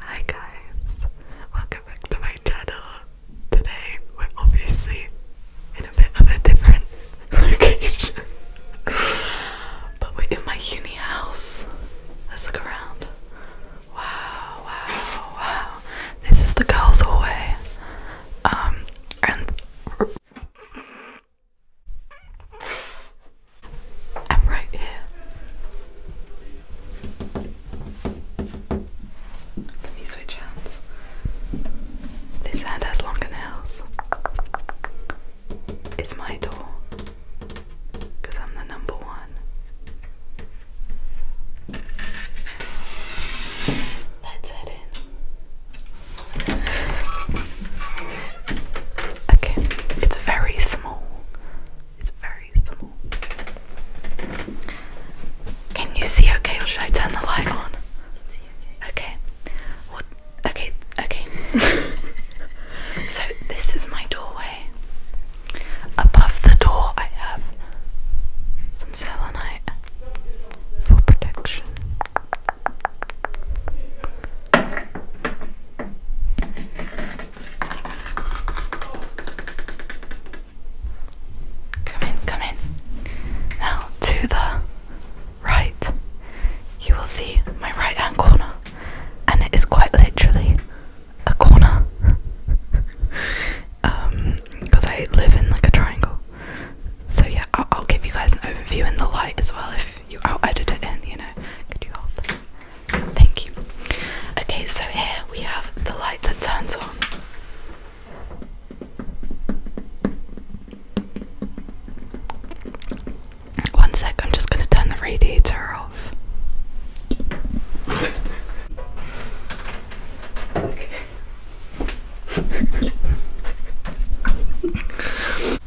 Hi guys, welcome back to my channel. Today we're obviously in a bit of a different location, but we're in my uni house. Let's look around. Wow, wow, wow. This is the girls' hallway. Um, and I'm right here. Let me switch hands. This hand has longer nails. It's my door. I'm the number one. Let's head in. Okay, it's very small. It's very small. Can you see okay or should I turn the light on? See okay. Okay. okay, okay. so this is my doorway. Above the door I have some selenite for protection. Come in, come in. Now to the right, you will see my right hand corner, and it is quite literally a corner because um, I live in like a triangle. So, yeah, I'll, I'll give you guys an overview in the light as well if you out will it in, you know. Could you hold Thank you. Okay, so here we have the light that turns on. One sec, I'm just going to turn the radiator off. okay.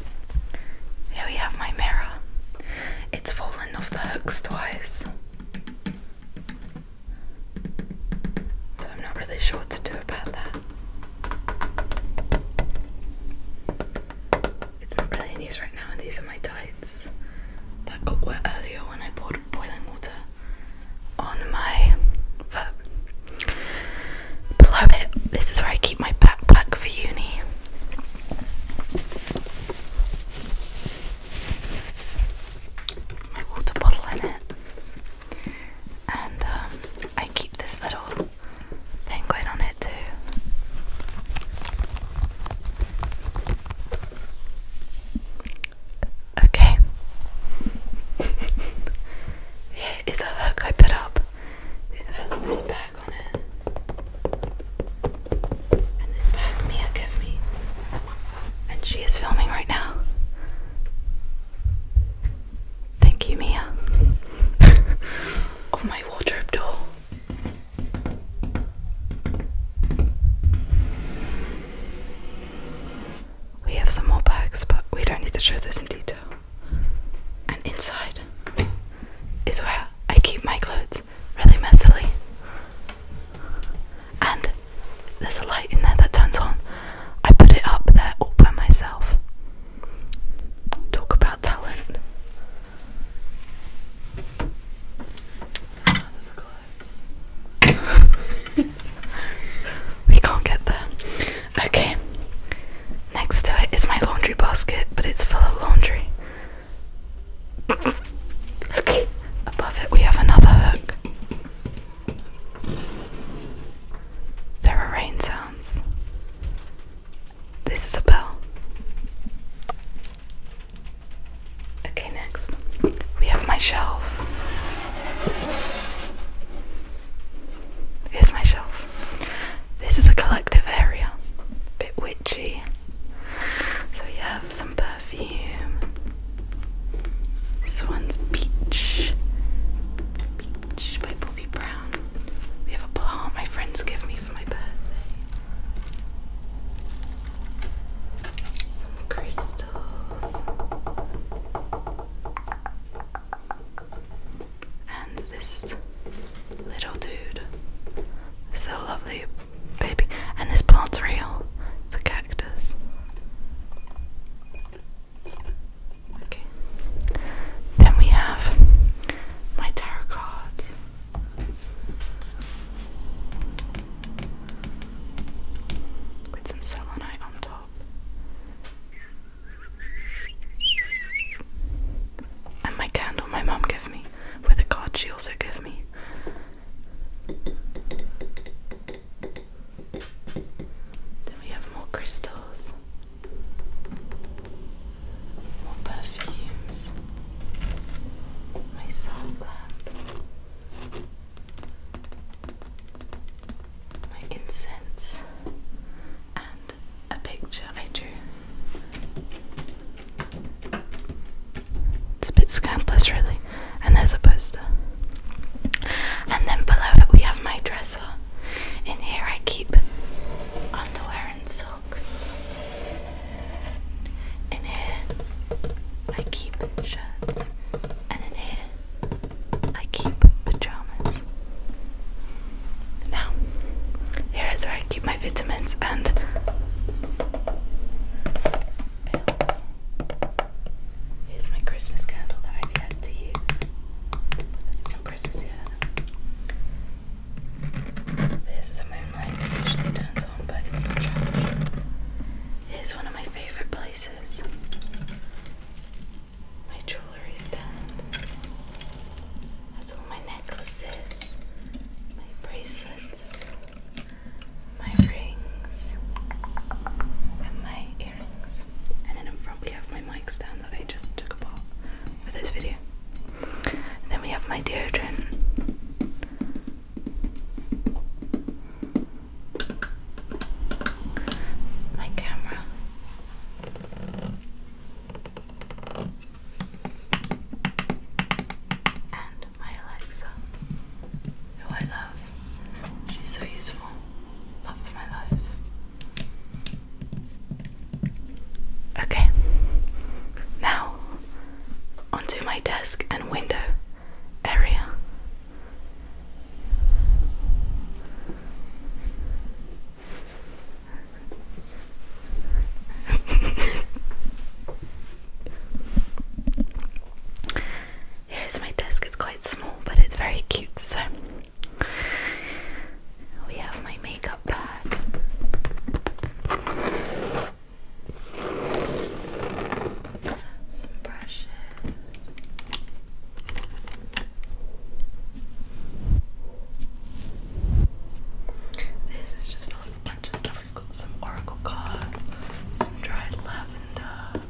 Here we have my mirror. It's fallen off the hooks twice. So I'm not really sure what to do about that. It's not really in use right now, and these are my tights that got wet earlier when I poured boiling water on my foot below it. This is where I keep my backpack for uni. There's my water bottle in it. And um, I keep this little penguin on it too. Okay. Here is a hook I put up. It has this bell and she is filming right now. Thank you, Mia. of my wardrobe door. We have some more bags, but we don't need to show those in detail and inside is where I keep my clothes really messily. And there's a light in there that turns on. I put it up there all by myself. Talk about talent. we can't get there. Okay. Next to it is my laundry basket, but it's full of laundry. okay. Above it, we have another hook. There are rain sounds. This is a bell. Okay, next we have my shelf. Here's my shelf. This is a collective area, a bit witchy. So we have some perfume. This one's Beach. Beach by Bobby Brown. We have a ball my friends give me for my birthday. Some crystals and this little dude. a lovely, baby. And this plant's real. It's a cactus. Okay. Then we have my tarot With some selenite on top. And my candle my mum gave me with a card she also gave me. Then we have more crystals, more perfumes, my soul lamp my incense and a picture I drew. It's a bit scandalous, really. And there's a poster. And then below it, we have my dresser. In here, I keep underwear and socks. In here, I keep shirts. And in here, I keep pajamas. Now, here is where I keep my vitamins and pills. Here's my Christmas candle that I've yet to use. It's not Christmas yet. This is a moonlight that usually turns on, but it's not trash. Here's one of my favourite places my jewelry stand. That's all my necklaces, my bracelets, my rings, and my earrings. And then in front we have my mic stand that I just took apart for this video. And then we have my deodorant my camera. And my Alexa, who I love. She's so useful. Love of my life. Okay, now onto my desk and window area. Here's my desk, it's quite small, but it's very cute. So we have my makeup bag some brushes. This is just a bunch of stuff. We've got some oracle cards, some dried lavender,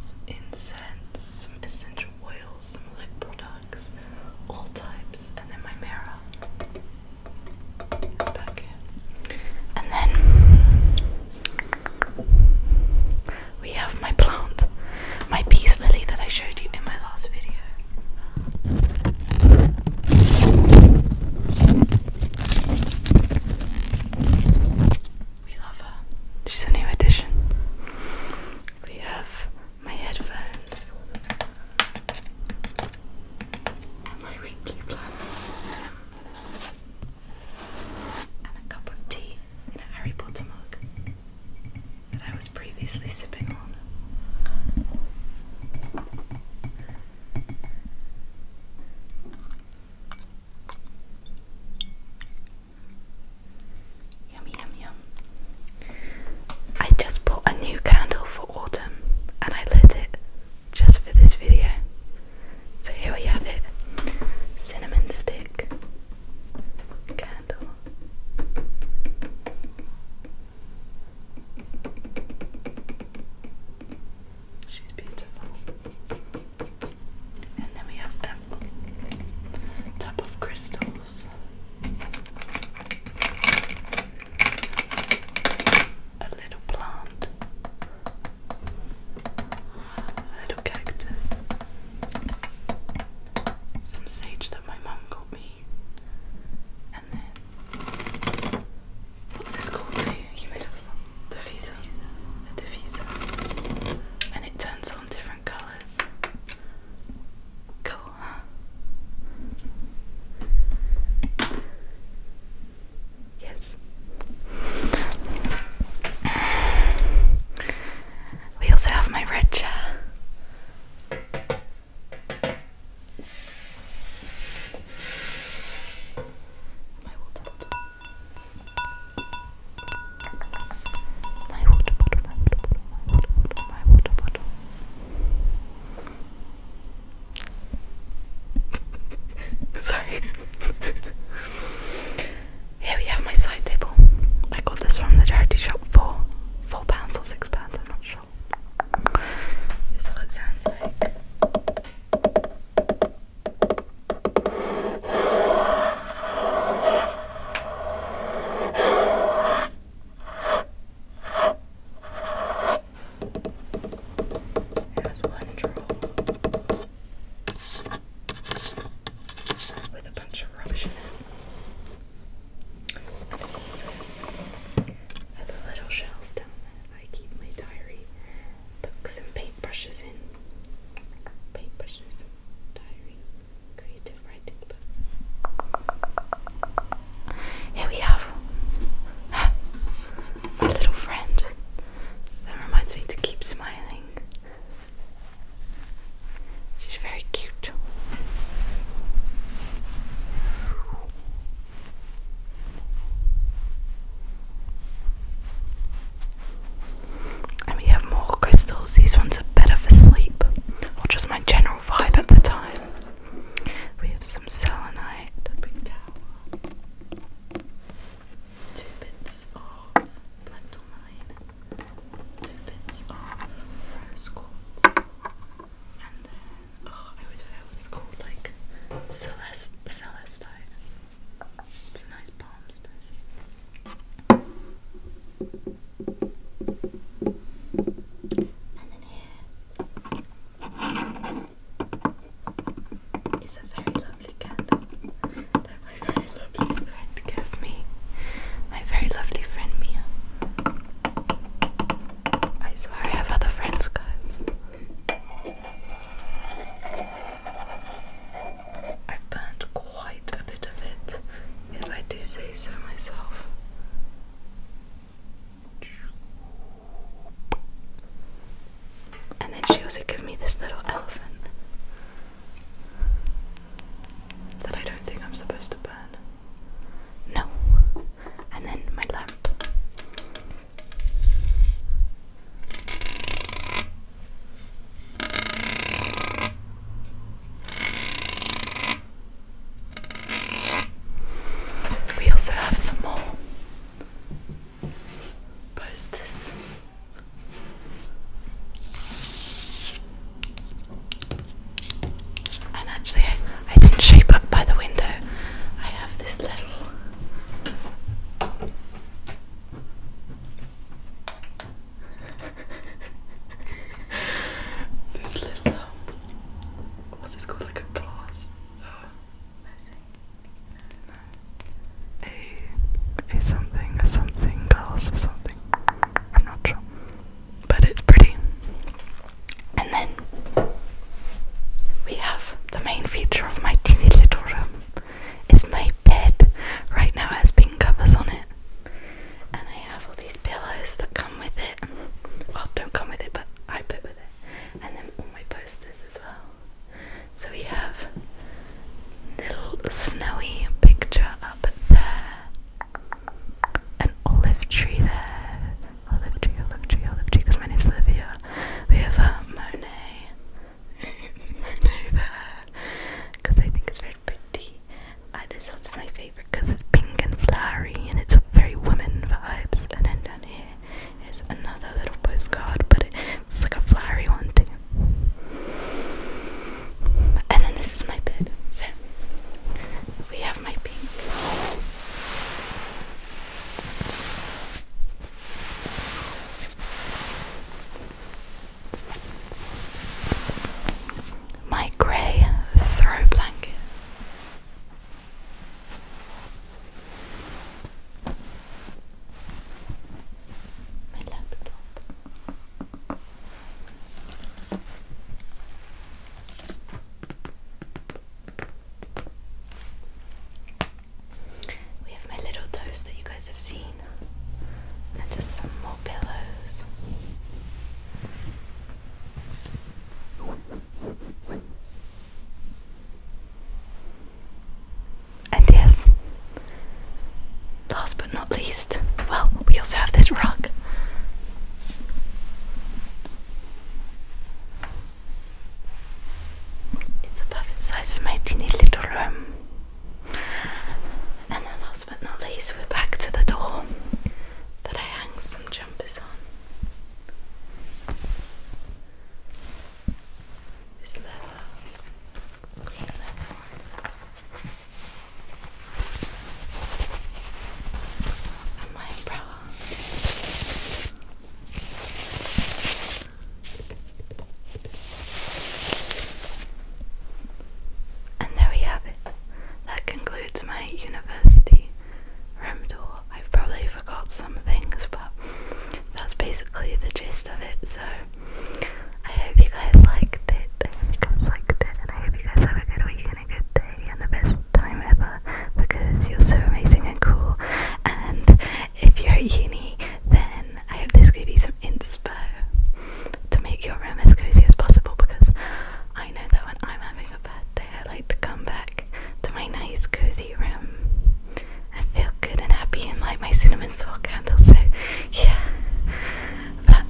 some incense, some essential oils, some lip products, all types, and then my mirror. And then we have my plant, my peace lily that I showed you in my last video. We love her. She's a new addition. We have my headphones my weekly plan and a cup of tea in a Harry Potter mug that I was previously sipping on. Yum, yum, yum. I just bought a new candle for autumn and I lit it just for this video. So here we have it cinnamon stick candle. She's beautiful. And then we have a tub of crystals a little plant, a little cactus, some sage that my mum got me, and then what's this called? The humidifier, diffuser, a diffuser, and it turns on different colours. Cool, huh? Yes. We also have my red chair. My water bottle. My water bottle, my water bottle, my water bottle, Sorry. Here we have my side table. I got this from the charity shop for four pounds or six pounds, I'm not sure. This is what it sounds like. It has one drawer with a bunch of rubbish in it. And also has little shelf down there I keep my diary, books and paintbrushes in. Paintbrushes, diary, creative writing book. Here we have my little friend. That reminds me to keep smiling. She's very cute. And we have more crystals. These ones are better for sleep, or just my general vibe at the time. We have some selenite, two bits of plantomine, two bits of rose quartz, and then, oh, I always forget what it's called, like celest celestite. It's a nice palm stone. And then here it's a very lovely candle that my very lovely friend gave me. My very lovely friend Mia. I swear I have other friends, guys. I've burned quite a bit of it, if I do say so myself. And then she also gave me this little elephant that I don't think I'm supposed to burn. No. And then my lamp. We also have some more posters. And actually, I, I didn't shape up by the window. I have this little. this little what's this called? Like a glass. Uh, a a something a something glass or something. I'm not sure, but it's pretty. And then we have the main feature of my teeny little room. It's my bed. Right now, it has pink covers on it, and I have all these pillows that come with it. Oh, don't come with it, but I put with it. And then all my posters as well. So we have little snowy picture up there. An olive tree there. Olive tree, olive tree, olive tree, because my name's Olivia. We have uh, Monet. Monet there. Because I think it's very pretty this one's my favourite because it's pink and flowery and it's very woman vibes. And then down here is another little postcard, but it's like a flowery one too. And then this is my bed. So we have my pink my grey throw blanket. My laptop. We have my little toast that you guys have seen, and just some more pillows. And yes, last but not least, well, we also have this rug. It's a perfect size for my teeny little room. And then i last but not least, we're back to the door that I hang some jumpers on. This leather, green leather And my umbrella. And there we have it. That concludes my university room tour. I've probably forgot some things, but that's basically the gist of it. So I hope you guys liked it. I hope you guys liked it, and I hope you guys have a good week and a good day and the best time ever because you're so amazing and cool. And if you're at uni, then I hope this gave you some inspo to make your room as cozy as possible because I know that when I'm having a bad day, I like to come back to my nice cozy room and feel good and happy and light my cinnamon swirl candle. So, yeah. But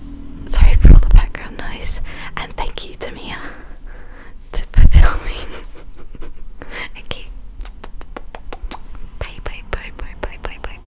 sorry for all the background noise, and thank you Tamia, for filming. okay. Bye bye bye bye bye bye bye.